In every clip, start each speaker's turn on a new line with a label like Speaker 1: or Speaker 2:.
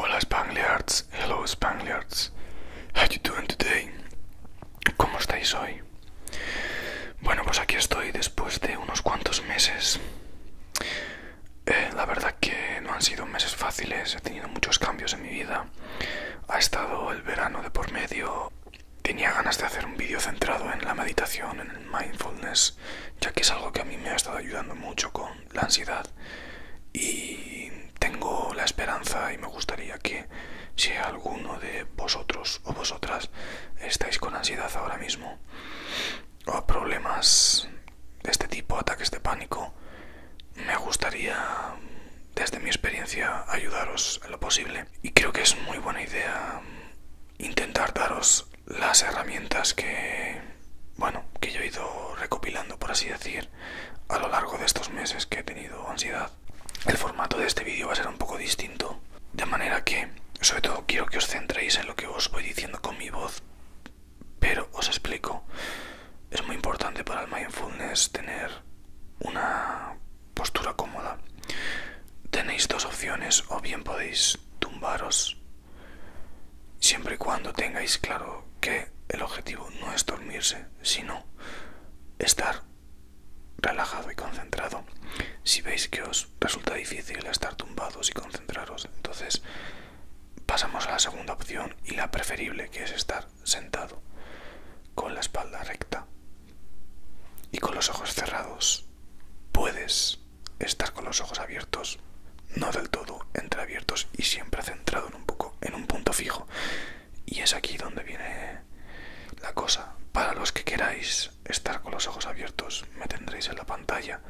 Speaker 1: Hola Spaniards, hello Spaniards, how you doing today? ¿Cómo estáis hoy? Bueno, pues aquí estoy después de unos cuantos meses. Eh, la verdad que no han sido meses fáciles, he tenido muchos cambios en mi vida. Ha estado el verano de por medio. Tenía ganas de hacer un vídeo centrado en la meditación, en el mindfulness, ya que es algo que a mí me ha estado ayudando mucho con la ansiedad. Y tengo la esperanza y me gustaría que si alguno de vosotros o vosotras estáis con ansiedad ahora mismo, o, oh, a problemas de este tipo, ataques de pánico, me gustaría desde mi experiencia ayudaros en lo posible. Y creo que es muy buena idea intentar daros las herramientas que, bueno, que yo he ido recopilando, por así decir, a lo largo de estos meses que he tenido ansiedad. El formato de este vídeo va a ser un poco distinto de manera que, sobre todo, quiero que os centréis en lo que os voy diciendo con mi voz. Pero os explico, es muy importante para el mindfulness tener una postura cómoda. Tenéis dos opciones, o bien podéis tumbaros, siempre y cuando tengáis claro que el objetivo no es dormirse, sino estar relajado y concentrado. Si veis que os resulta difícil estar tumbados y concentraros, entonces pasamos a la segunda opción y la preferible, que es estar sentado, con la espalda recta y con los ojos cerrados. Puedes estar con los ojos abiertos, no del todo entreabiertos y siempre centrado en un poco en un punto fijo. Y es aquí donde viene la cosa. Para los que queráis estar con los ojos abiertos, me tendréis en la pantalla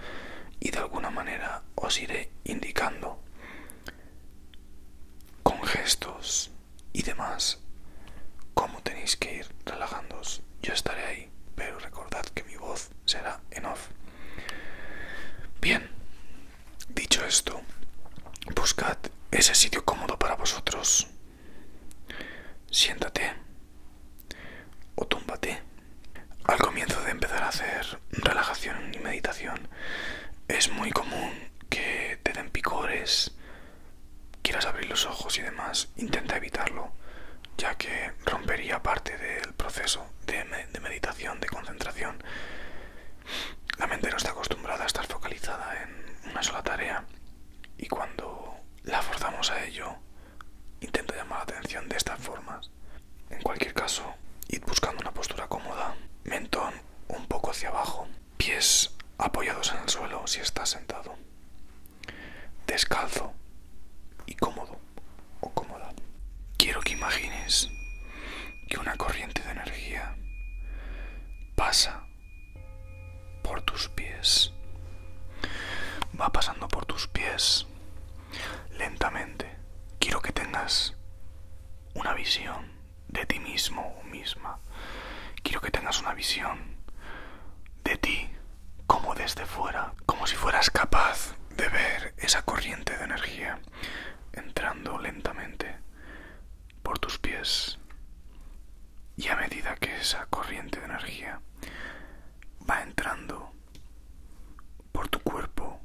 Speaker 1: y de alguna manera os iré indicando con gestos y demás cómo tenéis que ir relajándoos. Yo estaré ahí, pero recordad que mi voz será en off. Bien, dicho esto, buscad ese sitio cómodo para vosotros Siéntate o túmbate. Al comienzo de empezar a hacer relajación y meditación, es muy común que te den picores, quieras abrir los ojos y demás. Intenta evitarlo, ya que rompería parte del proceso de, de meditación, de concentración. La mente no está acostumbrada a estar focalizada en una sola tarea y cuando la forzamos a ello, intento llamar la atención de estas formas. En cualquier caso, ir buscando una postura cómoda, mentón un poco hacia abajo, pies apoyados en el suelo si estás sentado, descalzo y cómodo o cómoda. Quiero que imagines que una corriente de energía pasa por tus pies. Va pasando por tus pies lentamente. Quiero que tengas una visión de ti mismo misma. Quiero que tengas una visión de ti como desde fuera, como si fueras capaz de ver esa corriente de energía entrando lentamente por tus pies y a medida que esa corriente de energía va entrando por tu cuerpo,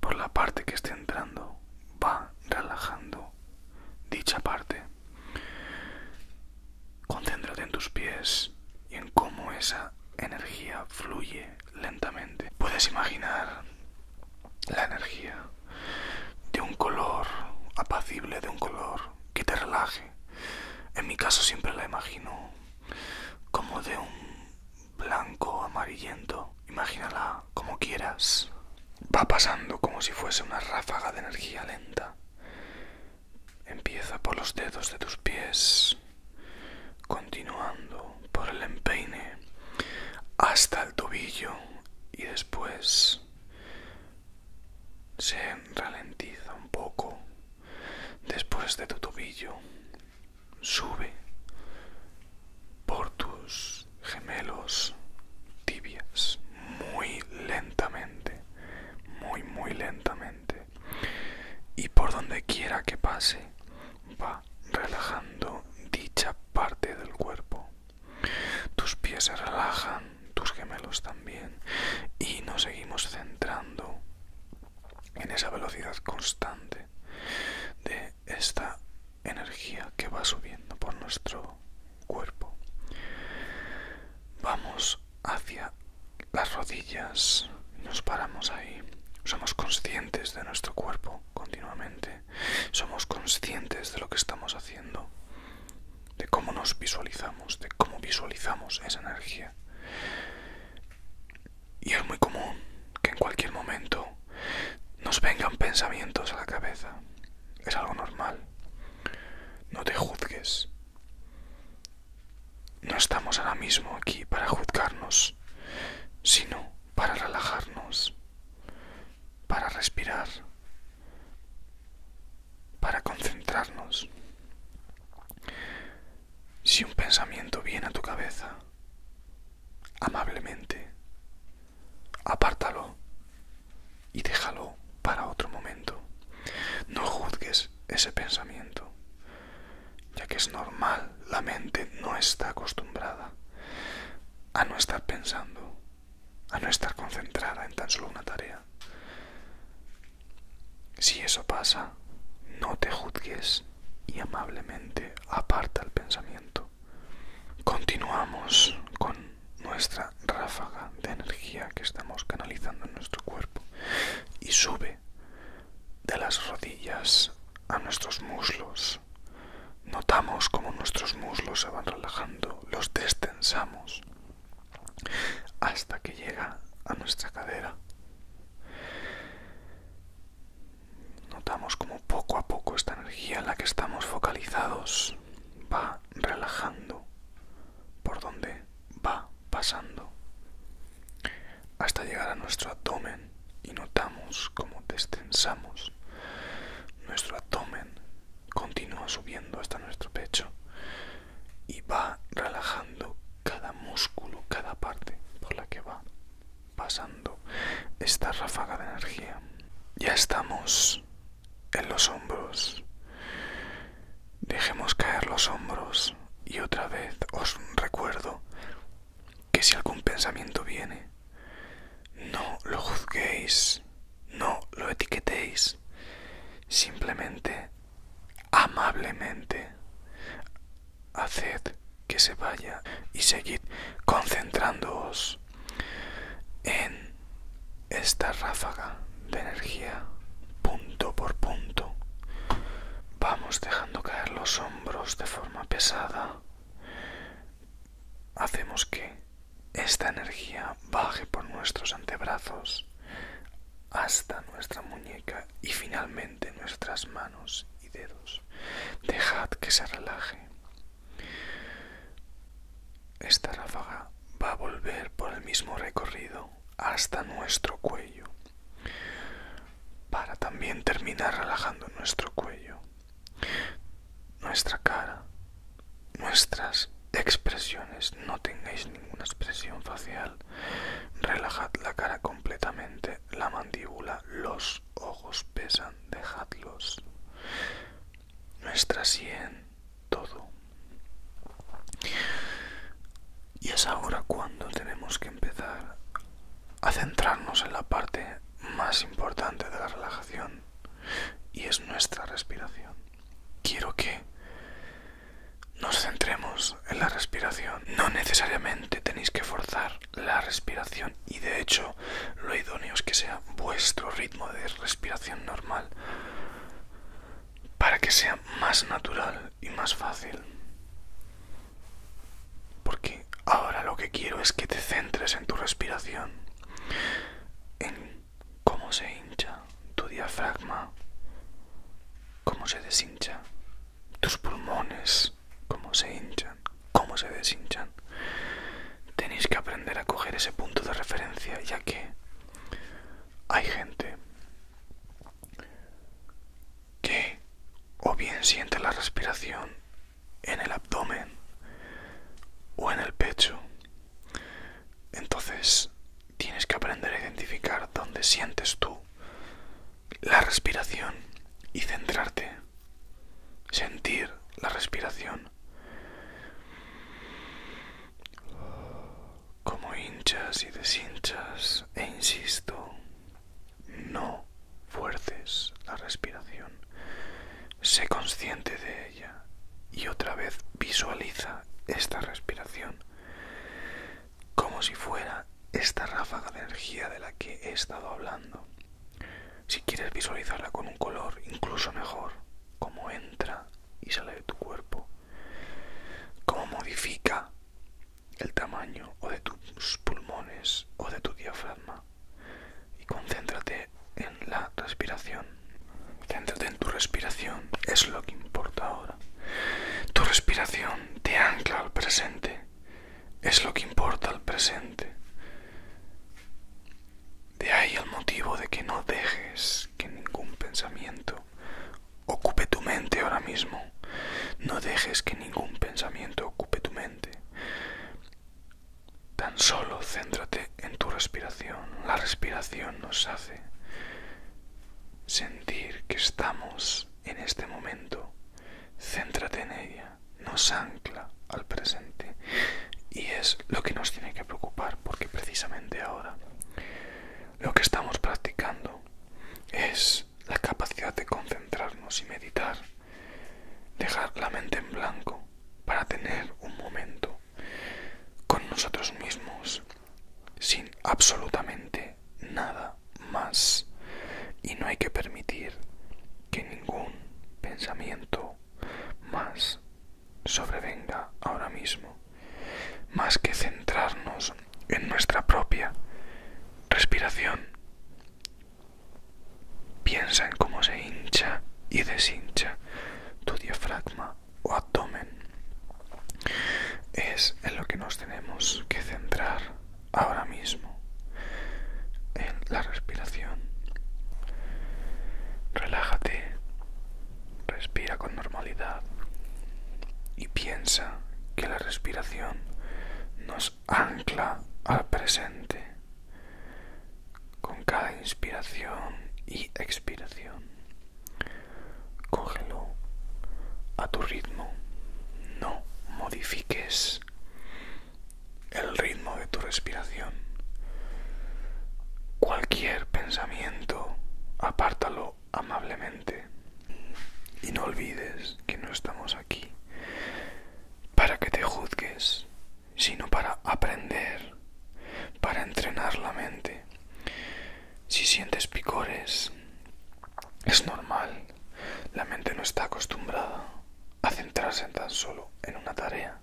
Speaker 1: por la parte que esté entrando, va relajando dicha parte. Concéntrate en tus pies y en cómo esa energía fluye lentamente. Puedes imaginar la energía de un color apacible, de un color que te relaje. En mi caso siempre la imagino como de un blanco amarillento. Imagínala como quieras. Va pasando como si fuese una ráfaga de energía lenta. Empieza por los dedos de tus pies, continuando por el empeine hasta el tobillo y después se ralentiza un poco después de tu tobillo, sube por tus gemelos tibias muy lentamente, muy muy lentamente y por donde quiera que pase va relajando dicha parte del cuerpo tus pies se relajan, tus gemelos también, y nos seguimos centrando en esa velocidad constante de esta energía que va subiendo por nuestro cuerpo. Vamos hacia las rodillas, y nos paramos ahí. Somos conscientes de nuestro cuerpo continuamente. Somos conscientes de lo que estamos haciendo de cómo nos visualizamos, de cómo visualizamos esa energía. Y es muy común que en cualquier momento nos vengan pensamientos a la cabeza. Es algo normal. No te juzgues. No estamos ahora mismo aquí para juzgarnos, sino para relajarnos, para respirar, para concentrarnos. Si un pensamiento viene a tu cabeza, amablemente, apártalo y déjalo para otro momento. No juzgues ese pensamiento, ya que es normal, la mente no está acostumbrada a no estar pensando a no estar concentrada en tan solo una tarea. Si eso pasa, no te juzgues y amablemente aparta el pensamiento. Continuamos con nuestra ráfaga de energía que estamos canalizando en nuestro cuerpo y sube de las rodillas a nuestros muslos Notamos cómo nuestros muslos se van relajando, los destensamos hasta que llega a nuestra cadera. Notamos como poco a poco esta energía en la que estamos focalizados va relajando por donde va pasando hasta llegar a nuestro abdomen y notamos cómo destensamos nuestro abdomen continúa subiendo hasta nuestro pecho y va relajando cada músculo, cada parte por la que va pasando esta ráfaga de energía. Ya estamos en los hombros. Dejemos caer los hombros y otra vez os recuerdo que si algún pensamiento viene, no lo juzguéis, no lo etiquetéis, simplemente, amablemente, haced que se vaya y seguid concentrándoos en esta ráfaga de energía punto por punto. Vamos dejando caer los hombros de forma pesada hacemos que esta energía baje por nuestros antebrazos hasta nuestra muñeca y finalmente nuestras manos y dedos. Dejad que se relaje. Esta ráfaga va a volver por el mismo recorrido hasta nuestro cuello para también terminar relajando nuestro cuello nuestra cara, nuestras expresiones, no tengáis ninguna expresión facial, relajad la cara completamente, la mandíbula, los ojos pesan, dejadlos, nuestra sien, todo. Y es ahora cuando tenemos que empezar a centrarnos en la parte más importante de la relajación y es nuestra respiración. Quiero que nos centremos en la respiración. No necesariamente tenéis que forzar la respiración y de hecho lo idóneo es que sea vuestro ritmo de respiración normal para que sea más natural y más fácil. Porque ahora lo que quiero es que te centres en tu respiración en cómo se hincha tu diafragma, cómo se deshincha tus pulmones, cómo se hinchan, cómo se deshinchan. Tenéis que aprender a coger ese punto de referencia ya que hay gente que o bien siente la respiración en el abdomen o en el pecho. Entonces tienes que aprender a identificar dónde sientes tú la respiración y centrarte. Sentir la respiración. Como hinchas y deshinchas, e insisto, no fuerces la respiración. Sé consciente de ella y otra vez visualiza esta respiración como si fuera esta ráfaga de energía de la que he estado hablando. Si quieres visualizarla con un color, incluso mejor, cómo entra y sale de tu cuerpo, cómo modifica el tamaño o de tus pulmones o de tu diafragma y concéntrate en la respiración. concéntrate en tu respiración, es lo que importa ahora. Tu respiración te ancla al presente, es lo que importa al presente. De ahí el motivo de que no dejes que ningún pensamiento ocupe tu mente ahora mismo. No dejes que ningún pensamiento ocupe tu mente. Tan solo céntrate en tu respiración. La respiración nos hace sentir que estamos en este momento. Céntrate en ella. Nos ancla al presente. Y es lo que nos tiene que preocupar porque precisamente ahora lo que estamos practicando es la capacidad de concentrarnos y meditar dejar la mente en blanco para tener un momento con nosotros mismos sin absolutamente nada más y no hay que permitir que ningún pensamiento más sobrevenga ahora mismo más que centrarnos en nuestra propia respiración Piensa en cómo se hincha y deshincha tu diafragma o abdomen. Es en lo que nos tenemos que centrar ahora mismo, en la respiración. Relájate, respira con normalidad y piensa que la respiración nos ancla al presente con cada inspiración y expiración, cógelo a tu ritmo. No modifiques el ritmo de tu respiración. Cualquier pensamiento, apártalo amablemente. Y no olvides que no estamos aquí para que te juzgues, sino para aprender, para entrenar la mente. Si sientes picores, es normal. La mente no está acostumbrada a centrarse tan solo en una tarea.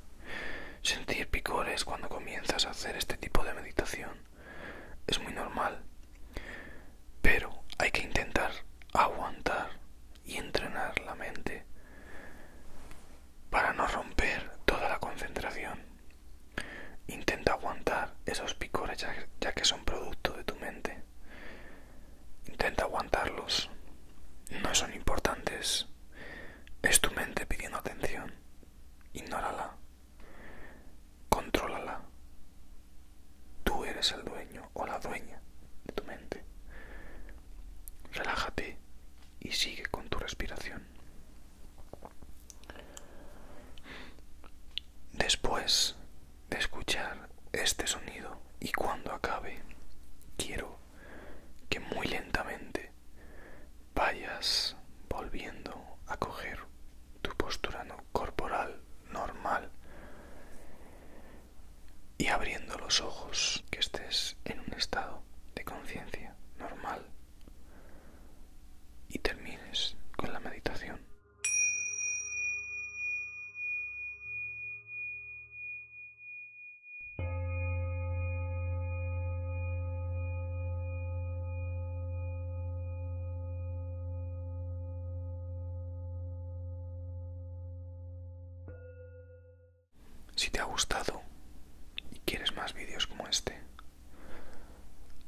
Speaker 1: Sentir picores cuando comienzas a hacer este tipo de meditación es muy normal. Pero hay que intentar aguantar y entrenar la mente para no romper toda la concentración. Intenta aguantar esos picores ya, que son producto de tu mente. Intenta aguantarlos. No son importantes. Es tu mente pidiendo atención. Ignórala. controlala. Tú eres el dueño o la dueña de tu mente. Relájate y sigue con tu respiración. Después de escuchar este sonido y cuando acabe, quiero que muy lentamente vayas volviendo a coger tu postura corporal normal y abriendo los ojos que estés en un estado de conciencia normal y termines con la meditación. Si te ha gustado y quieres más vídeos como este,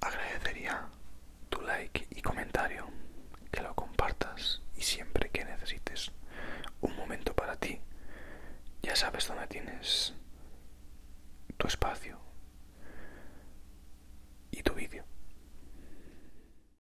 Speaker 1: agradecería tu like y comentario, que lo compartas y siempre que necesites un momento para ti, ya sabes dónde tienes tu espacio y tu vídeo.